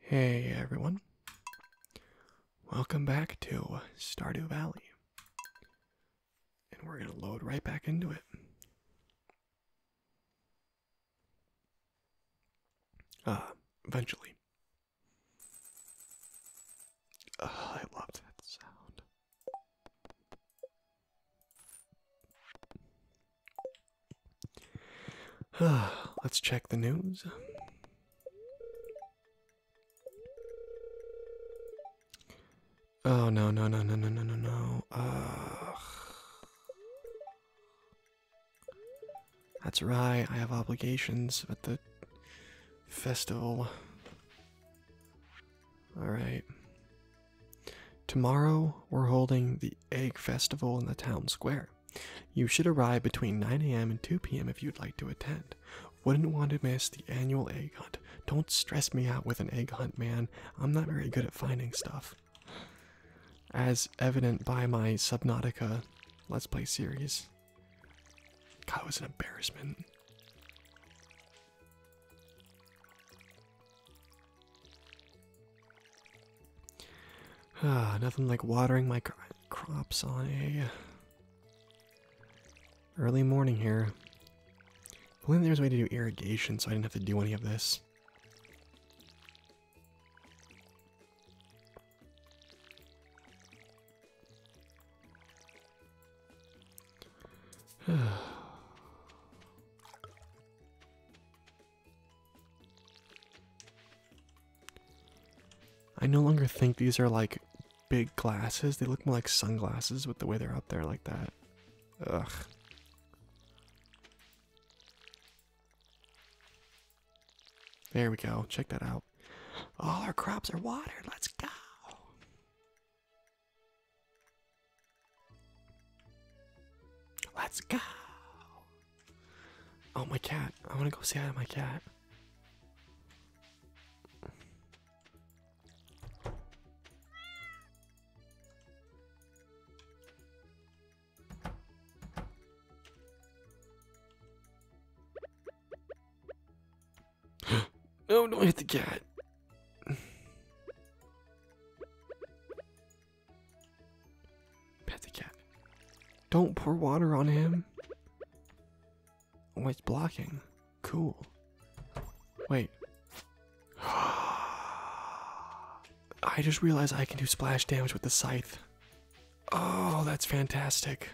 Hey everyone. Welcome back to Stardew Valley. And we're going to load right back into it. Uh, eventually. I love that sound. Let's check the news. Oh no no no no no no no no! that's right. I have obligations at the festival. All right. Tomorrow, we're holding the Egg Festival in the town square. You should arrive between 9 a.m. and 2 p.m. if you'd like to attend. Wouldn't want to miss the annual egg hunt. Don't stress me out with an egg hunt, man. I'm not very good at finding stuff. As evident by my Subnautica Let's Play series. God, was an embarrassment. Ah, nothing like watering my crops on a early morning here. I there's a way to do irrigation, so I didn't have to do any of this. I no longer think these are like big glasses. They look more like sunglasses with the way they're up there like that. Ugh. There we go. Check that out. All our crops are watered. Let's go. Let's go. Oh, my cat. I want to go see hi my cat. no, oh, don't hit the cat. Pet Don't pour water on him. Oh, it's blocking. Cool. Wait. I just realized I can do splash damage with the scythe. Oh, that's fantastic.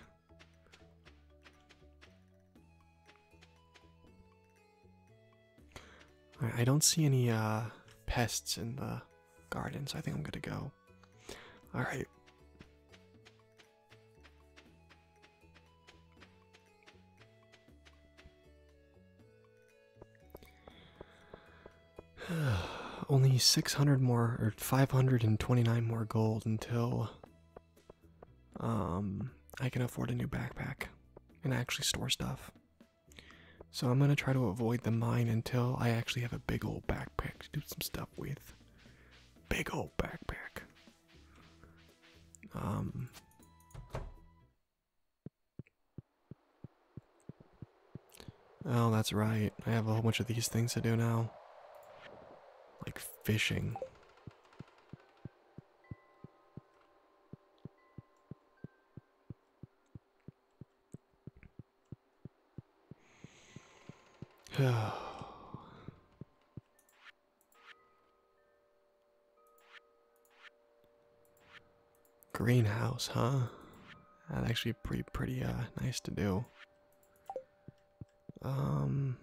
I don't see any uh, pests in the garden, so I think I'm gonna go. All right. Only 600 more, or 529 more gold until um, I can afford a new backpack and actually store stuff. So I'm gonna try to avoid the mine until I actually have a big old backpack to do some stuff with. Big old backpack. Um. Oh, that's right. I have a whole bunch of these things to do now. Like fishing. Greenhouse, huh? That's actually pretty, pretty, uh, nice to do. Um,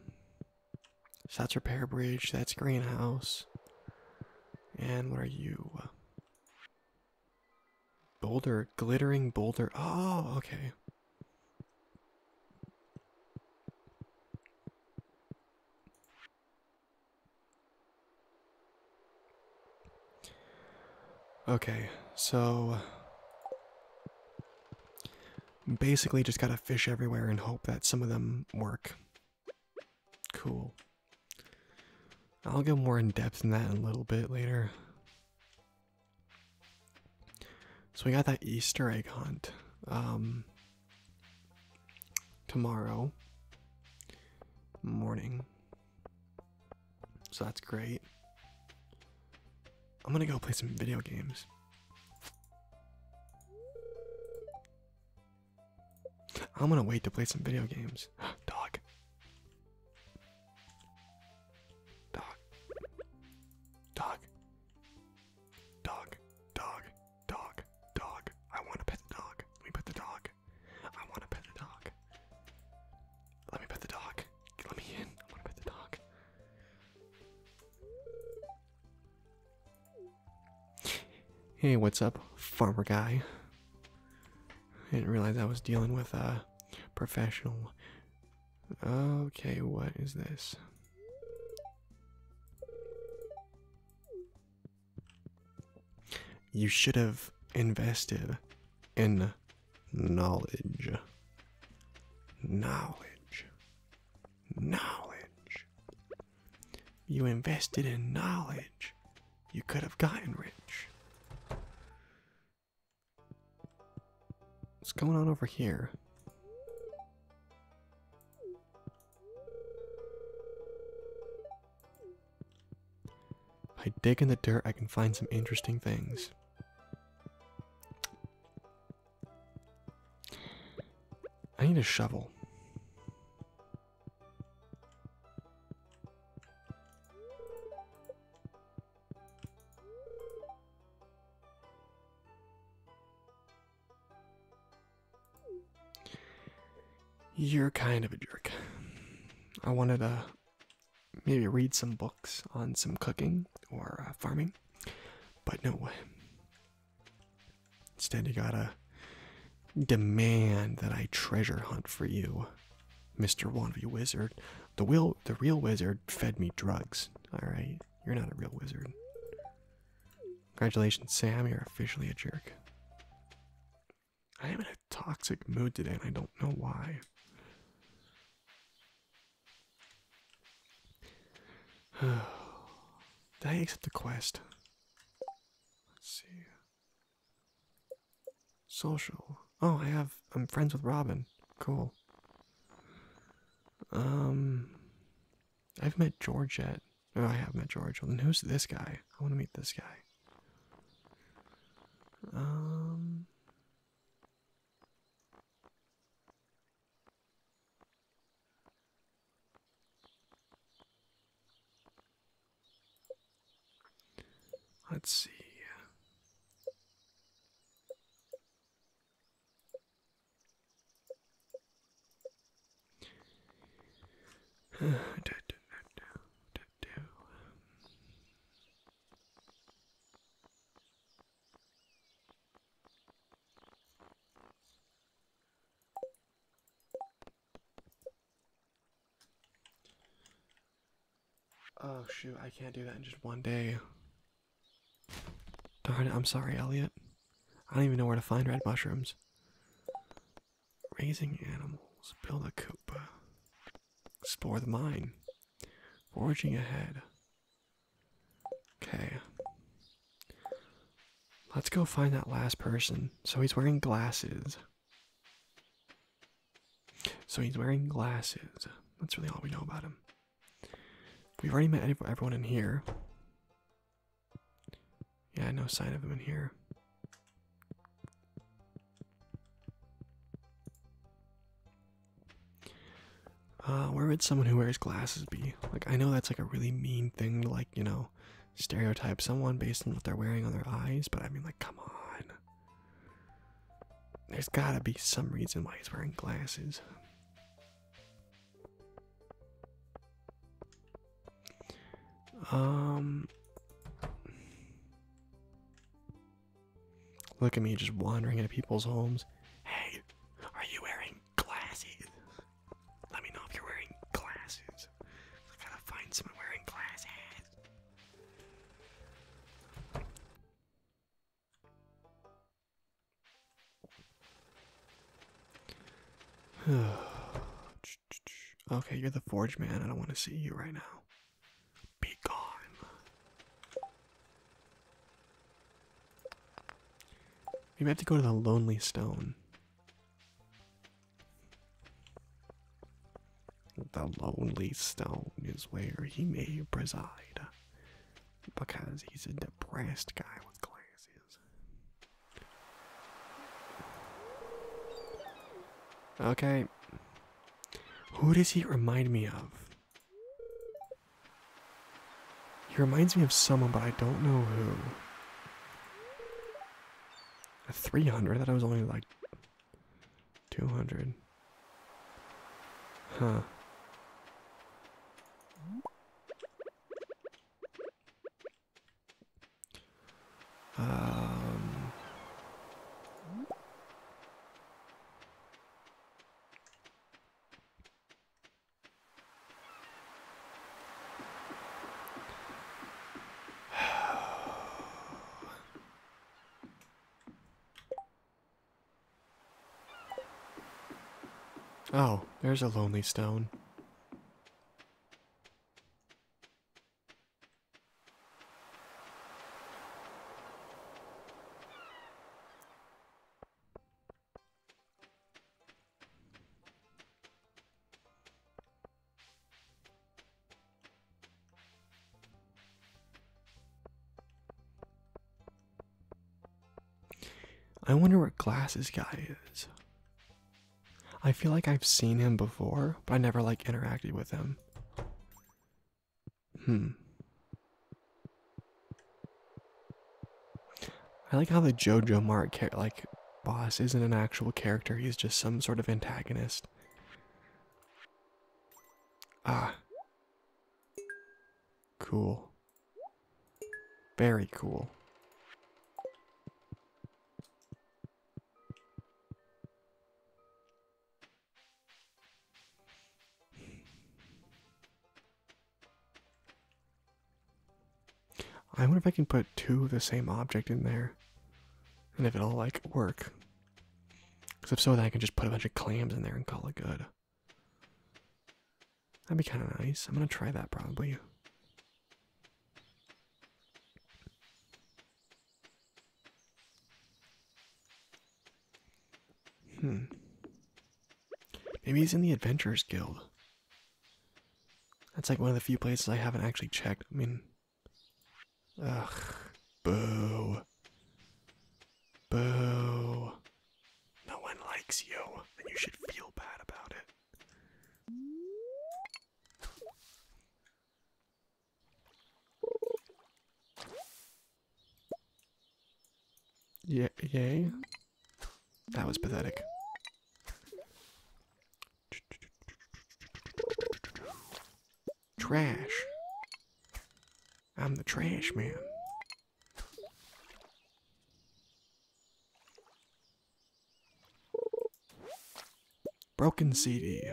that's repair bridge, that's greenhouse. And what are you? Boulder, glittering boulder. Oh, okay. Okay, so basically just gotta fish everywhere and hope that some of them work. Cool. I'll go more in depth in that in a little bit later. So we got that Easter egg hunt um, tomorrow morning. So that's great. I'm gonna go play some video games. I'm gonna wait to play some video games. Dog. Dog. Dog. Dog. Dog. Dog. Dog. I wanna pet the dog. Let me pet the dog. I wanna pet the dog. Let me pet the dog. Let me in. I wanna pet the dog. Hey, what's up, farmer guy? I didn't realize I was dealing with a professional. Okay, what is this? You should have invested in knowledge. Knowledge. Knowledge. You invested in knowledge. You could have gotten rich. What's going on over here? I dig in the dirt, I can find some interesting things. I need a shovel. You're kind of a jerk. I wanted to maybe read some books on some cooking or uh, farming, but no way. Instead, you gotta demand that I treasure hunt for you, Mister Wannabe Wizard. The will, the real wizard fed me drugs. All right, you're not a real wizard. Congratulations, Sam. You're officially a jerk. I am in a toxic mood today, and I don't know why. Did I accept the quest? Let's see. Social. Oh, I have. I'm friends with Robin. Cool. Um, I have met George yet. Oh, I have met George. And who's this guy? I want to meet this guy. Um. Let's see. do, do, do, do, do. Oh shoot, I can't do that in just one day. Darn it, I'm sorry, Elliot. I don't even know where to find red mushrooms. Raising animals, build a coop, explore the mine, foraging ahead. Okay. Let's go find that last person. So he's wearing glasses. So he's wearing glasses. That's really all we know about him. We've already met everyone in here. Yeah, no sign of him in here. Uh, where would someone who wears glasses be? Like, I know that's like a really mean thing to, like, you know, stereotype someone based on what they're wearing on their eyes, but I mean, like, come on. There's gotta be some reason why he's wearing glasses. Um. Look at me just wandering into people's homes. Hey, are you wearing glasses? Let me know if you're wearing glasses. I gotta find someone wearing glasses. okay, you're the forge man. I don't want to see you right now. Be gone. We have to go to the lonely stone. The lonely stone is where he may preside, because he's a depressed guy with glasses. Okay. Who does he remind me of? He reminds me of someone, but I don't know who. Three hundred. I thought it was only like two hundred. Huh. Um. oh, there's a lonely stone. I wonder what glasses guy is. I feel like I've seen him before, but I never like interacted with him. Hmm. I like how the JoJo Mark like boss isn't an actual character, he's just some sort of antagonist. Ah. Cool. Very cool. I wonder if I can put two of the same object in there. And if it'll like work. Because if so, then I can just put a bunch of clams in there and call it good. That'd be kind of nice. I'm gonna try that probably. Hmm. Maybe he's in the Adventurers Guild. That's like one of the few places I haven't actually checked. I mean, Ugh. Boo. Boo. No one likes you, and you should feel bad about it. yeah, yay. That was pathetic. Trash. I'm the trash man. Broken CD.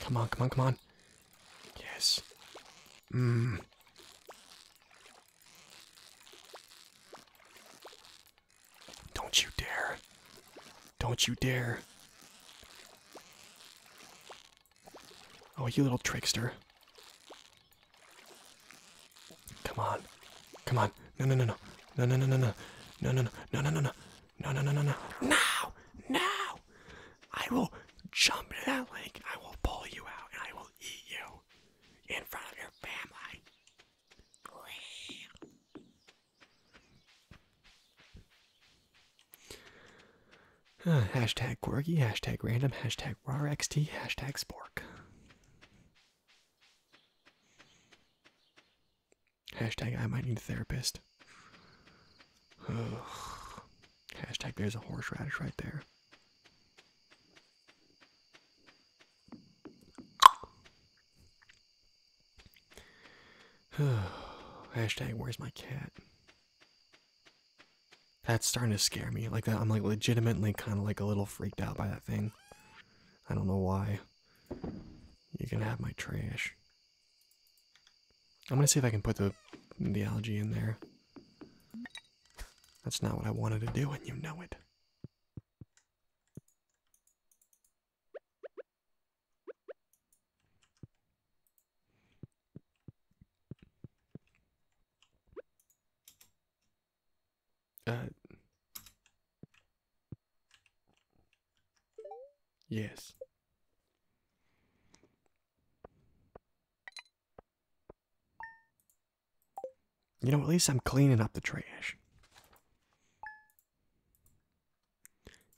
Come on, come on, come on. Yes. Mmm. Don't you dare. Don't you dare. Oh, you little trickster. Come on. Come on. No, no, no, no. No, no, no, no, no. No, no, no, no, no, no, no. No, no, no, no, no. Now! Now! I will jump into that lake. I will pull you out and I will eat you in front of your family. Uh, hashtag quirky, hashtag random, hashtag RXT, hashtag spork. Hashtag I might need a therapist. Hashtag there's a horseradish right there. Hashtag where's my cat? That's starting to scare me. Like I'm like legitimately kind of like a little freaked out by that thing. I don't know why. You can have my trash. I'm gonna see if I can put the the algae in there. That's not what I wanted to do, and you know it. Uh, yes. You know, at least I'm cleaning up the trash.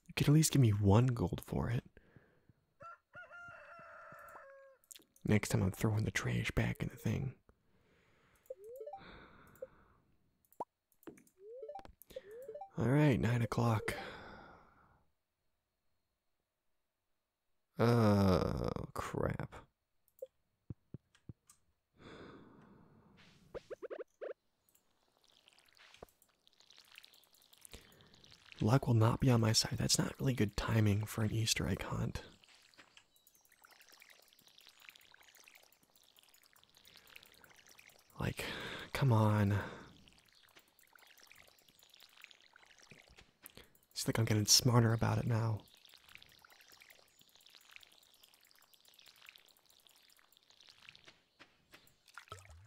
You could at least give me one gold for it. Next time I'm throwing the trash back in the thing. Alright, nine o'clock. Oh, crap. Luck will not be on my side. That's not really good timing for an Easter egg hunt. Like, come on. It's like I'm getting smarter about it now.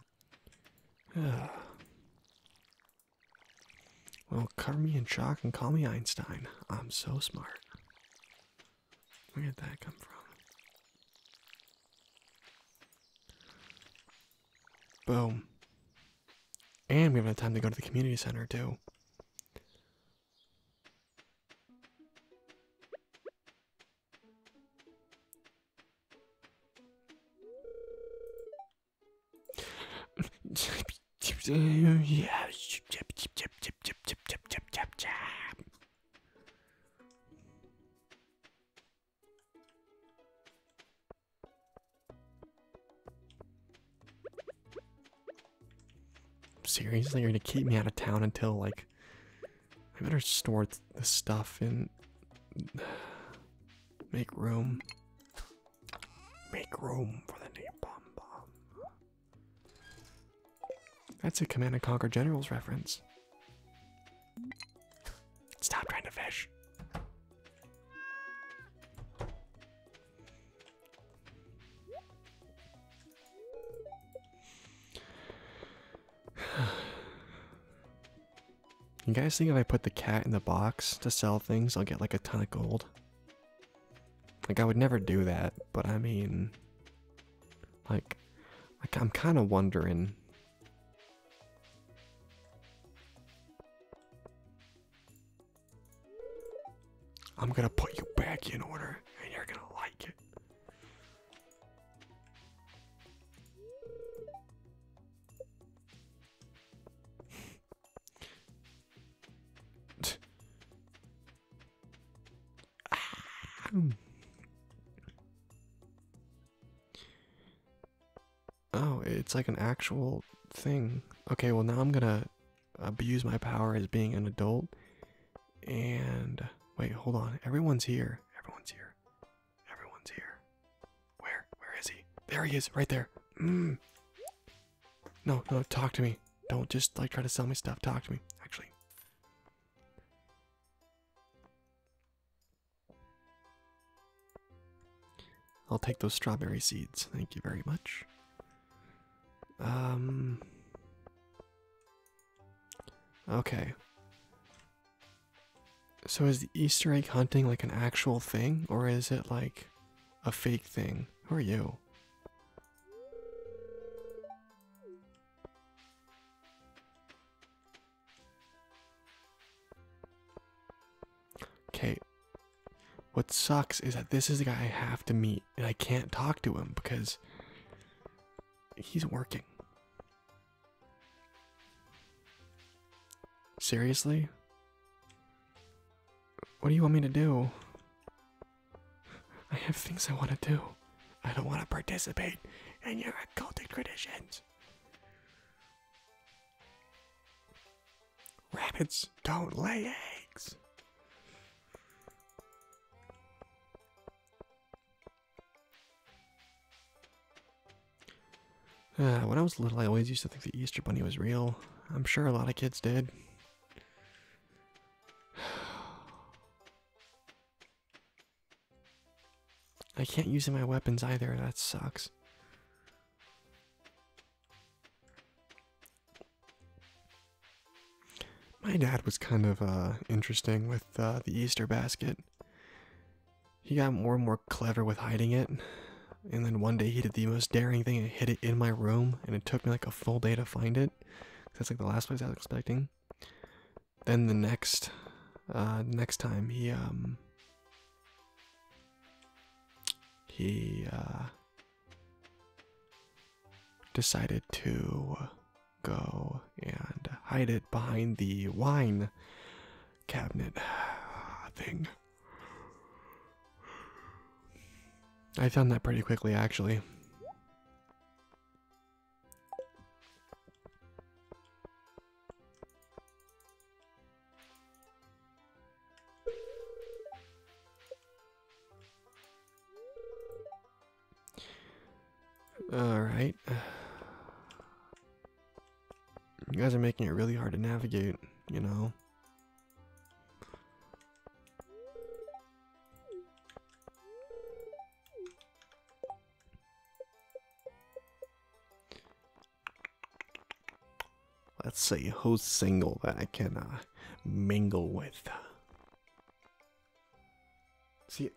well, cover me in chalk and call me Einstein. I'm so smart. Where did that come from? Boom. And we have time to go to the community center, too. Seriously, you're gonna keep me out of town until like I better store the stuff in. Make room. Make room for the napalm bomb. That's a Command and Conquer Generals reference. Stop trying to fish. You guys think if I put the cat in the box to sell things, I'll get like a ton of gold? Like, I would never do that, but I mean, like, I'm kind of wondering. I'm gonna put you back in order, and you're gonna like it. Ah. Oh, it's like an actual thing. Okay, well, now I'm gonna abuse my power as being an adult. And wait, hold on. Everyone's here. Everyone's here. Everyone's here. Where? Where is he? There he is, right there. Mm. No, no, talk to me. Don't just like try to sell me stuff. Talk to me. Actually. I'll take those strawberry seeds. Thank you very much. Um Okay. So is Easter egg hunting like an actual thing, or is it like a fake thing? Who are you? Okay. What sucks is that this is the guy I have to meet, and I can't talk to him because he's working. Seriously? What do you want me to do? I have things I want to do. I don't want to participate in your occultic traditions. Rabbits don't lay eggs. Uh, when I was little, I always used to think the Easter Bunny was real. I'm sure a lot of kids did. I can't use my weapons either, that sucks. My dad was kind of uh, interesting with uh, the Easter basket. He got more and more clever with hiding it, and then one day he did the most daring thing and hid it in my room, and it took me like a full day to find it. That's like the last place I was expecting. Then the next, uh, next time he um, he uh, decided to go and hide it behind the wine cabinet thing. I found that pretty quickly, actually. All right. You guys are making it really hard to navigate, you know. Let's see who's single that I can uh, mingle with. See,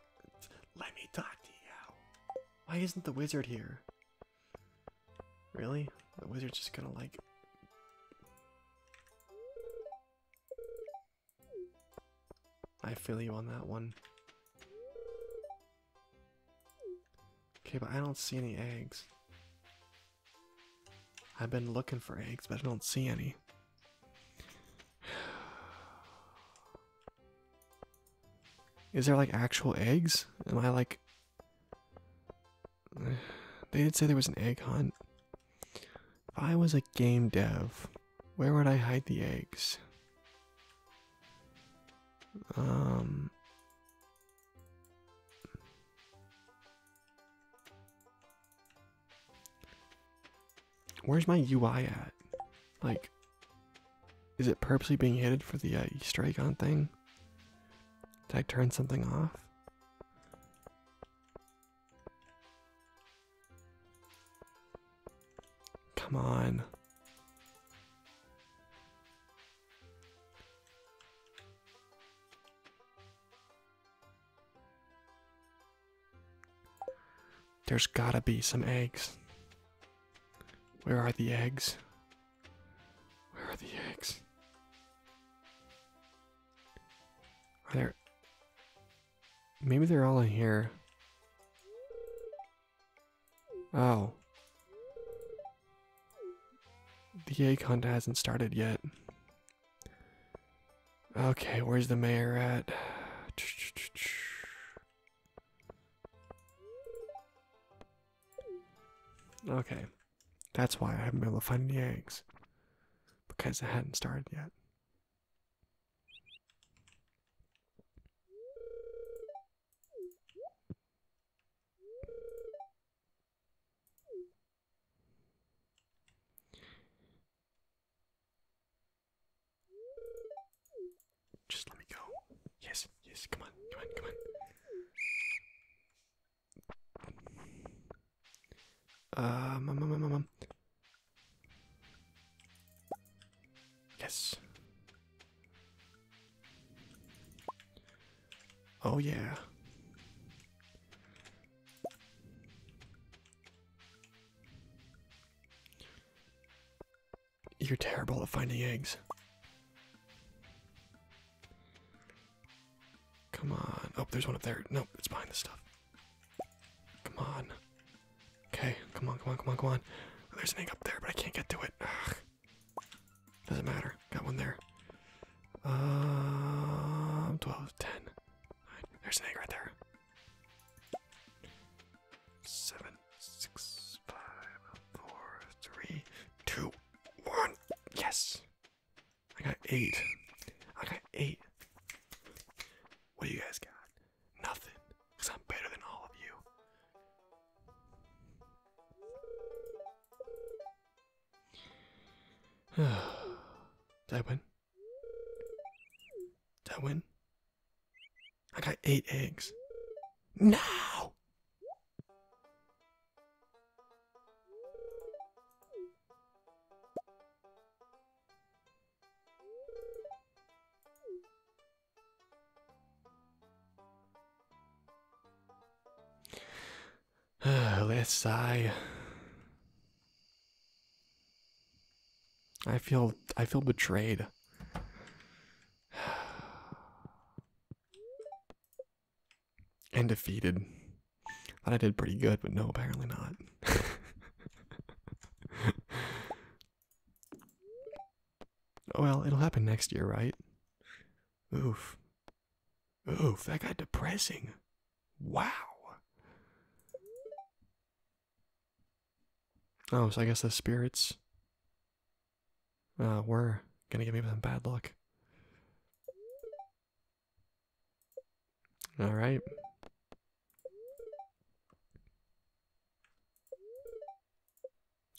let me talk to you. Why isn't the wizard here? Really? The wizard's just gonna like. I feel you on that one. Okay, but I don't see any eggs. I've been looking for eggs, but I don't see any. Is there like actual eggs? Am I like They did say there was an egg hunt. If I was a game dev, where would I hide the eggs? Um. Where's my UI at? Like, is it purposely being hidden for the uh, Easter egg thing? Did I turn something off? Come on. There's gotta be some eggs. Where are the eggs? Where are the eggs? Are there. Maybe they're all in here. Oh. The egg hunt hasn't started yet. Okay, where's the mayor at? Okay, that's why I haven't been able to find any eggs because it hadn't started yet. Just let me go. Yes, yes, come on, come on, come on. Um, um, um, um, um. Yes. Oh yeah. You're terrible at finding eggs. Come on. Oh, there's one up there. Nope, it's behind the stuff. Come on. Okay, come on, come on, come on, come on. There's an egg up there, but I can't get to it. Doesn't matter. Got one there. Um, 12, 10. There's an egg right there. 7, 6, 5, 4, 3, 2. One. Yes. I got eight. I got eight. What do you guys got? Nothing. Because I'm better than all of you. Did I win? Did I win? I got eight eggs. No! let sigh. I feel I feel betrayed. and defeated. Thought I did pretty good, but no, apparently not. Oh, well, it'll happen next year, right? Oof. Oof, that got depressing. Wow. Oh, so I guess the spirits uh, we're gonna give me some bad luck. All right.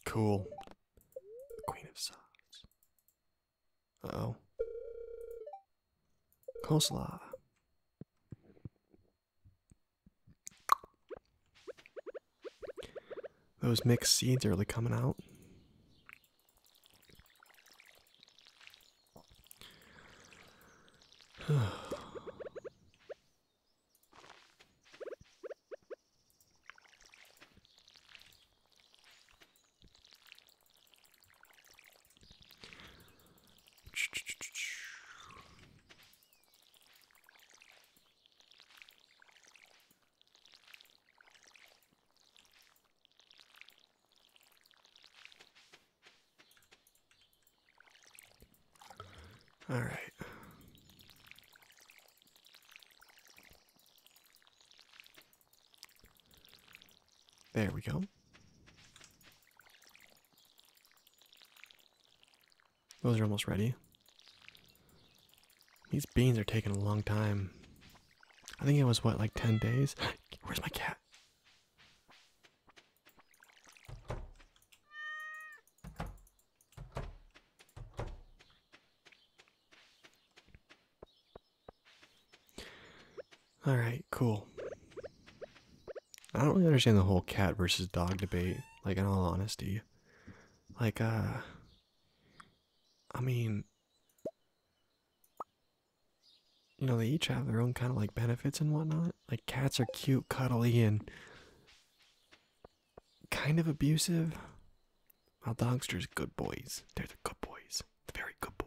Cool. The Queen of Swords. Uh-oh. Coleslaw. Those mixed seeds are really coming out. All right. There we go. Those are almost ready. These beans are taking a long time. I think it was what, like 10 days? Where's my cat? Alright, cool. I don't really understand the whole cat versus dog debate, like in all honesty. Like, uh, I mean, you know, they each have their own kind of like benefits and whatnot. Like, cats are cute, cuddly, and kind of abusive. While dogsters, good boys. They're the good boys. The very good boys.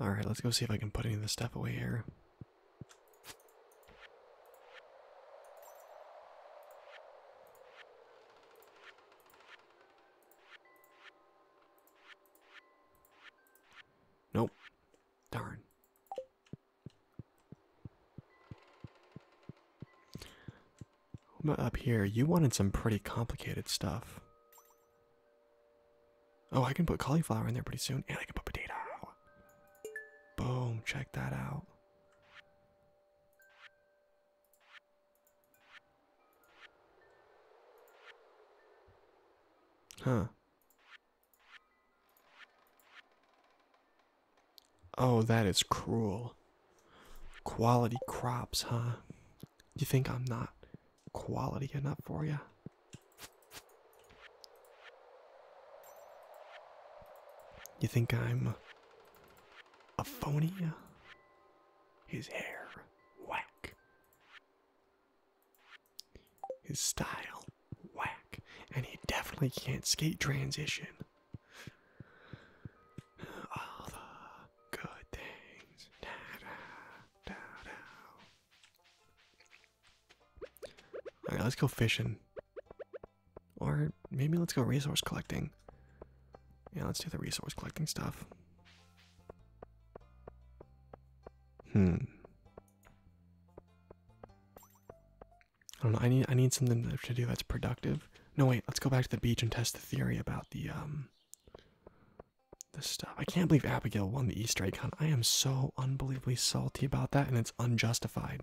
All right, let's go see if I can put any of this stuff away here. Nope. Darn. What about up here? You wanted some pretty complicated stuff. Oh, I can put cauliflower in there pretty soon, and I can put potato. Boom, check that out. Huh. Oh, that is cruel. Quality crops, huh? You think I'm not quality enough for you? You think I'm a phony? His hair, whack. His style, whack. And he definitely can't skate transition. All the good things. Alright, let's go fishing. Or maybe let's go resource collecting. Yeah, let's do the resource collecting stuff. Hmm. I don't know. I need I need something to do that's productive. No wait, let's go back to the beach and test the theory about the um the stuff. I can't believe Abigail won the Easter egg hunt. I am so unbelievably salty about that and it's unjustified.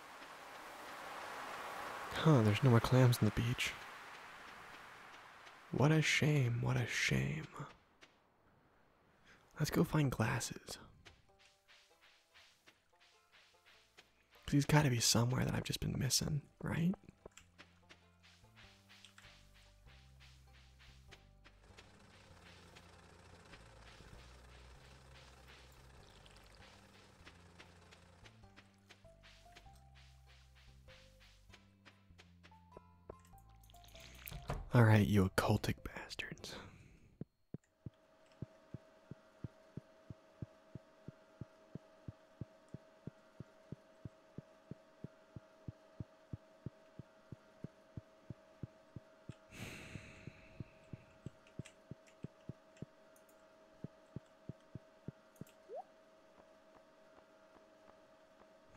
Huh, there's no more clams on the beach. What a shame, what a shame. Let's go find glasses. because got gotta be somewhere that I've just been missing, right? All right, you occultic bastards.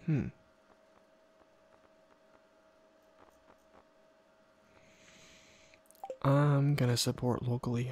Hmm. I'm gonna support locally.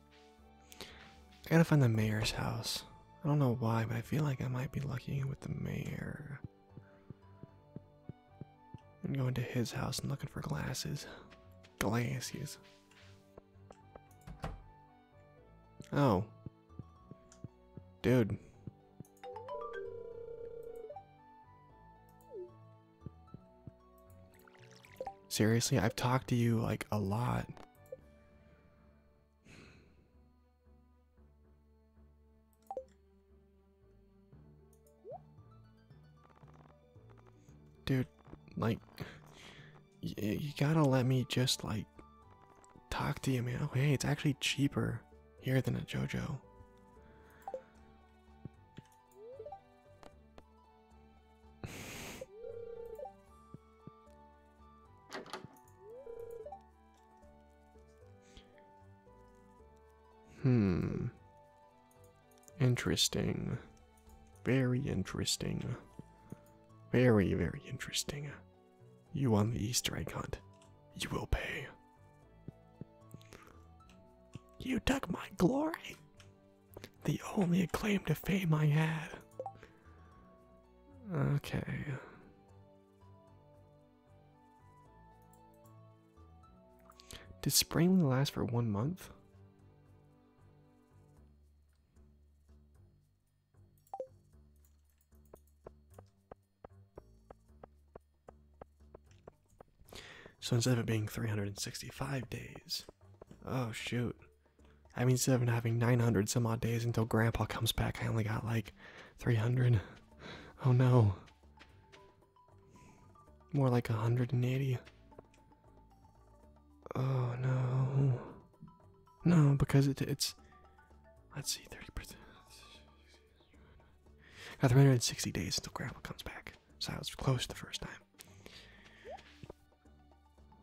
I gotta find the mayor's house. I don't know why, but I feel like I might be lucky with the mayor. And going to his house and looking for glasses. Glasses. Oh. Dude. Seriously, I've talked to you like a lot. Dude, like, you gotta let me just, like, talk to you, man. Oh, hey, it's actually cheaper here than at JoJo. Hmm. Interesting. Very interesting. Very, very interesting. You won the Easter egg hunt. You will pay. You took my glory. The only claim to fame I had. Okay. Did spring only last for one month? So instead of it being 365 days, oh shoot, I mean, instead of having 900 some odd days until Grandpa comes back, I only got like 300. Oh no. More like 180. Oh no. No, because it's. Let's see, 30%. Got 360 days until Grandpa comes back. So I was close the first time.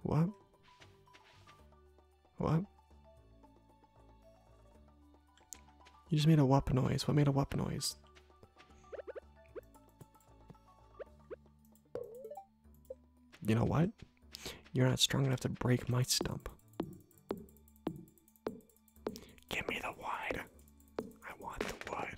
What? What? You just made a whoop noise. What made a whoop noise? You know what? You're not strong enough to break my stump. Give me the wood. I want the wood.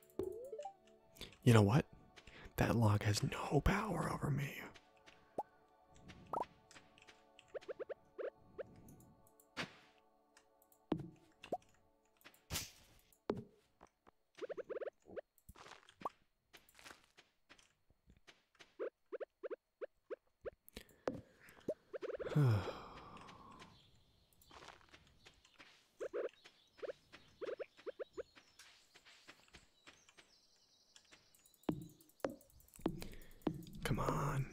You know what? That log has no power over me. Come on.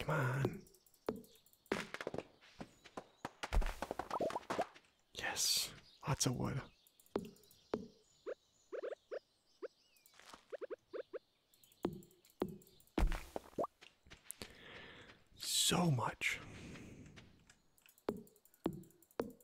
Come on. Yes, lots of wood. So much.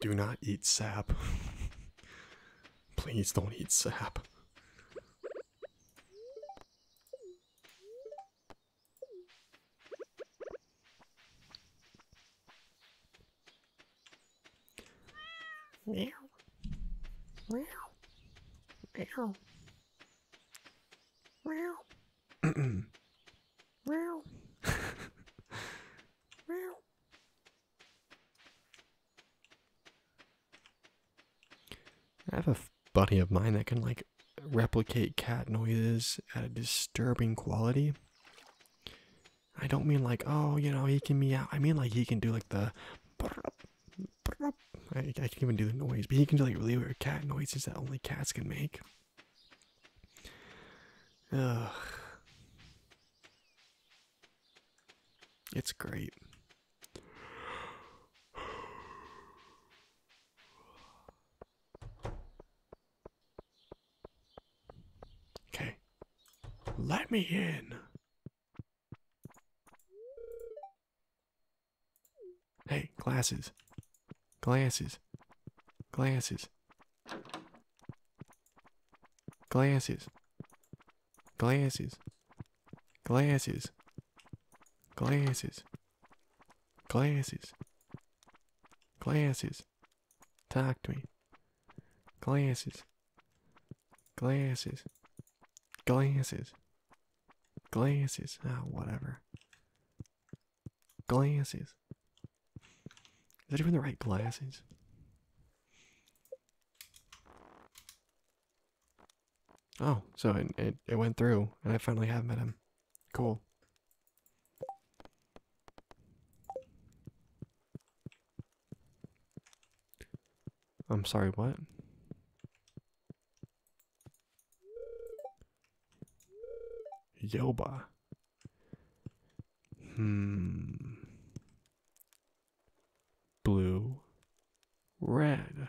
Do not eat sap. Please don't eat sap. Meow. Wow. Wow. Wow. Wow. wow. I have a buddy of mine that can like replicate cat noises at a disturbing quality. I don't mean like, oh, you know, he can meow. I mean like he can do like the I, can even do the noise, but he can do like really weird cat noises that only cats can make. Ugh. It's great. Okay. Let me in. Hey, glasses. Glasses. Glasses. Glasses. Glasses. Glasses. Glasses. Glasses. Glasses. Talk to me. Glasses. Glasses. Glasses. Glasses. Ah, whatever. Glasses. Is that even the right glasses? Oh, so it, it, it went through, and I finally have met him. Cool. I'm sorry, what? Yoba. Hmm. Blue. Red.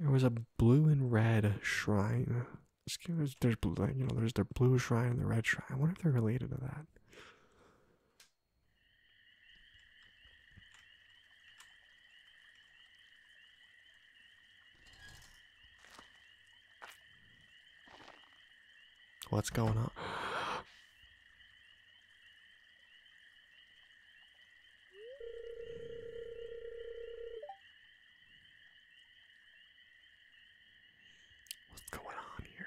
There was a blue and red shrine. There's, there's blue, you know, there's the blue shrine and the red shrine. I wonder if they're related to that. What's going on? What's going on here?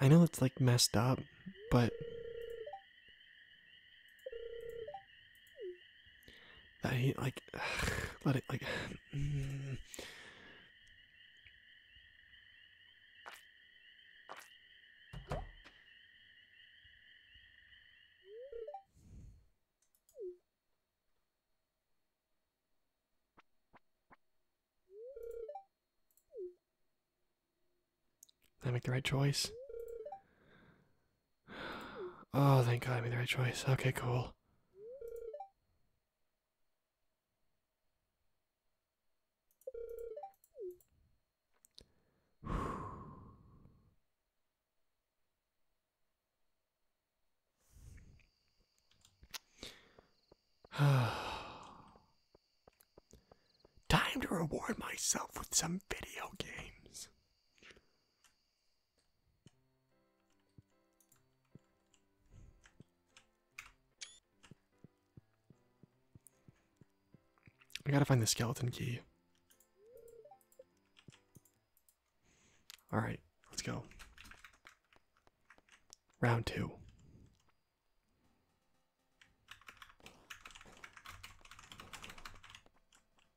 I know it's like messed up, but I ain't like, let it like. Did I make the right choice? Oh, thank God I made the right choice. Okay, cool. Time to reward myself with some video games. I gotta find the skeleton key. Alright, let's go. Round two.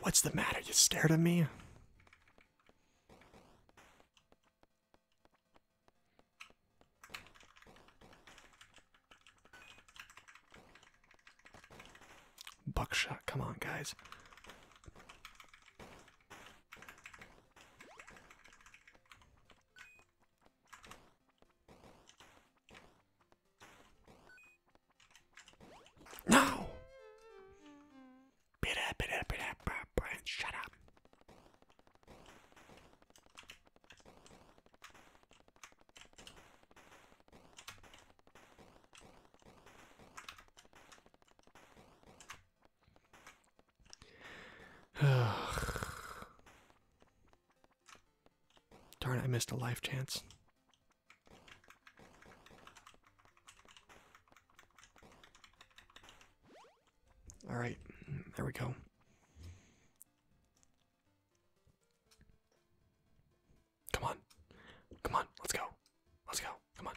What's the matter? You scared of me? Buckshot, come on, guys. No! Bit up, bit up, bit up, shut up. Darn, I missed a life chance. All right, there we go. Come on. Come on, let's go. Let's go. Come on.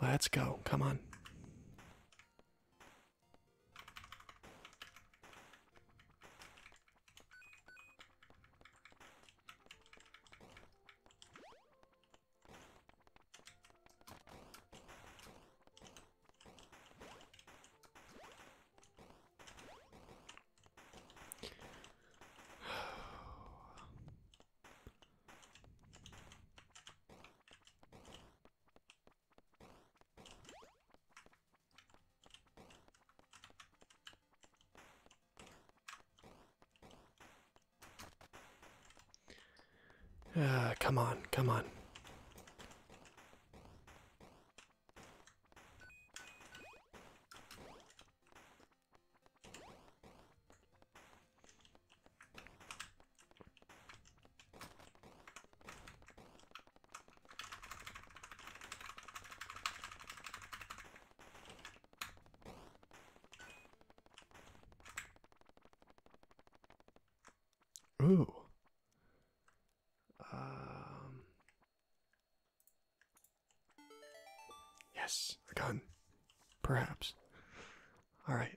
Let's go. Come on. Uh, come on, come on. Ooh. Um. Yes, a gun. Perhaps. All right.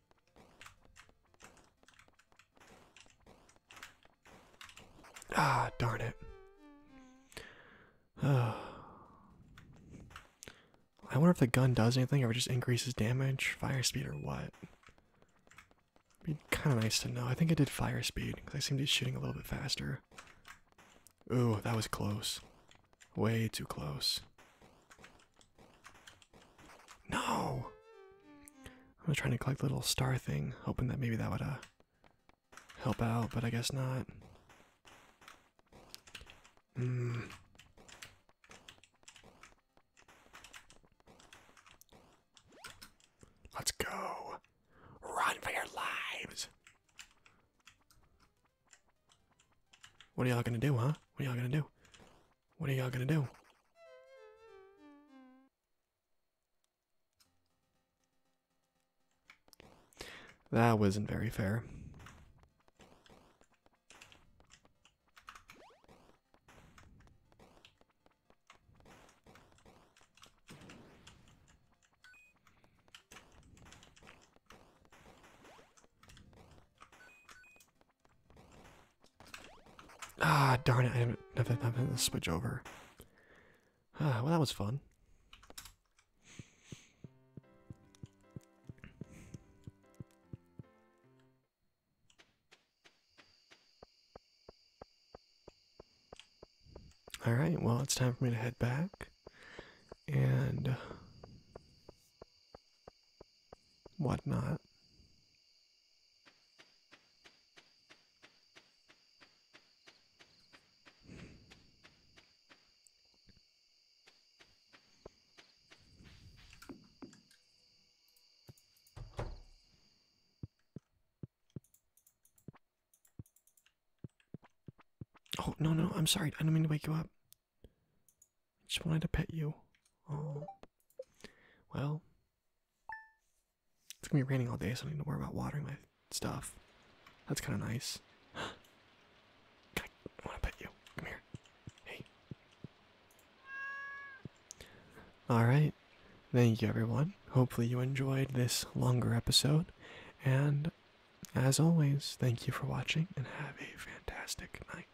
Ah, darn it. Uh, I wonder if the gun does anything, or it just increases damage, fire speed, or what. would be kind of nice to know. I think it did fire speed, because I seem to be shooting a little bit faster. Ooh, that was close. Way too close. No! I was trying to collect the little star thing, hoping that maybe that would uh, help out, but I guess not. Hmm. Let's go. Run for your lives. What are y'all gonna do, huh? What are y'all gonna do? What are y'all gonna do? That wasn't very fair. Ah, darn it, I haven't, I haven't, switch over. Ah, well, that was fun. Alright, well, it's time for me to head back. And what not? Oh, no, no, I'm sorry. I don't mean to wake you up. I just wanted to pet you. Well. It's gonna be raining all day, so I don't need to worry about watering my stuff. That's kind of nice. I want to pet you. Come here. Hey. Alright. Thank you, everyone. Hopefully, you enjoyed this longer episode. And as always, thank you for watching and have a fantastic night.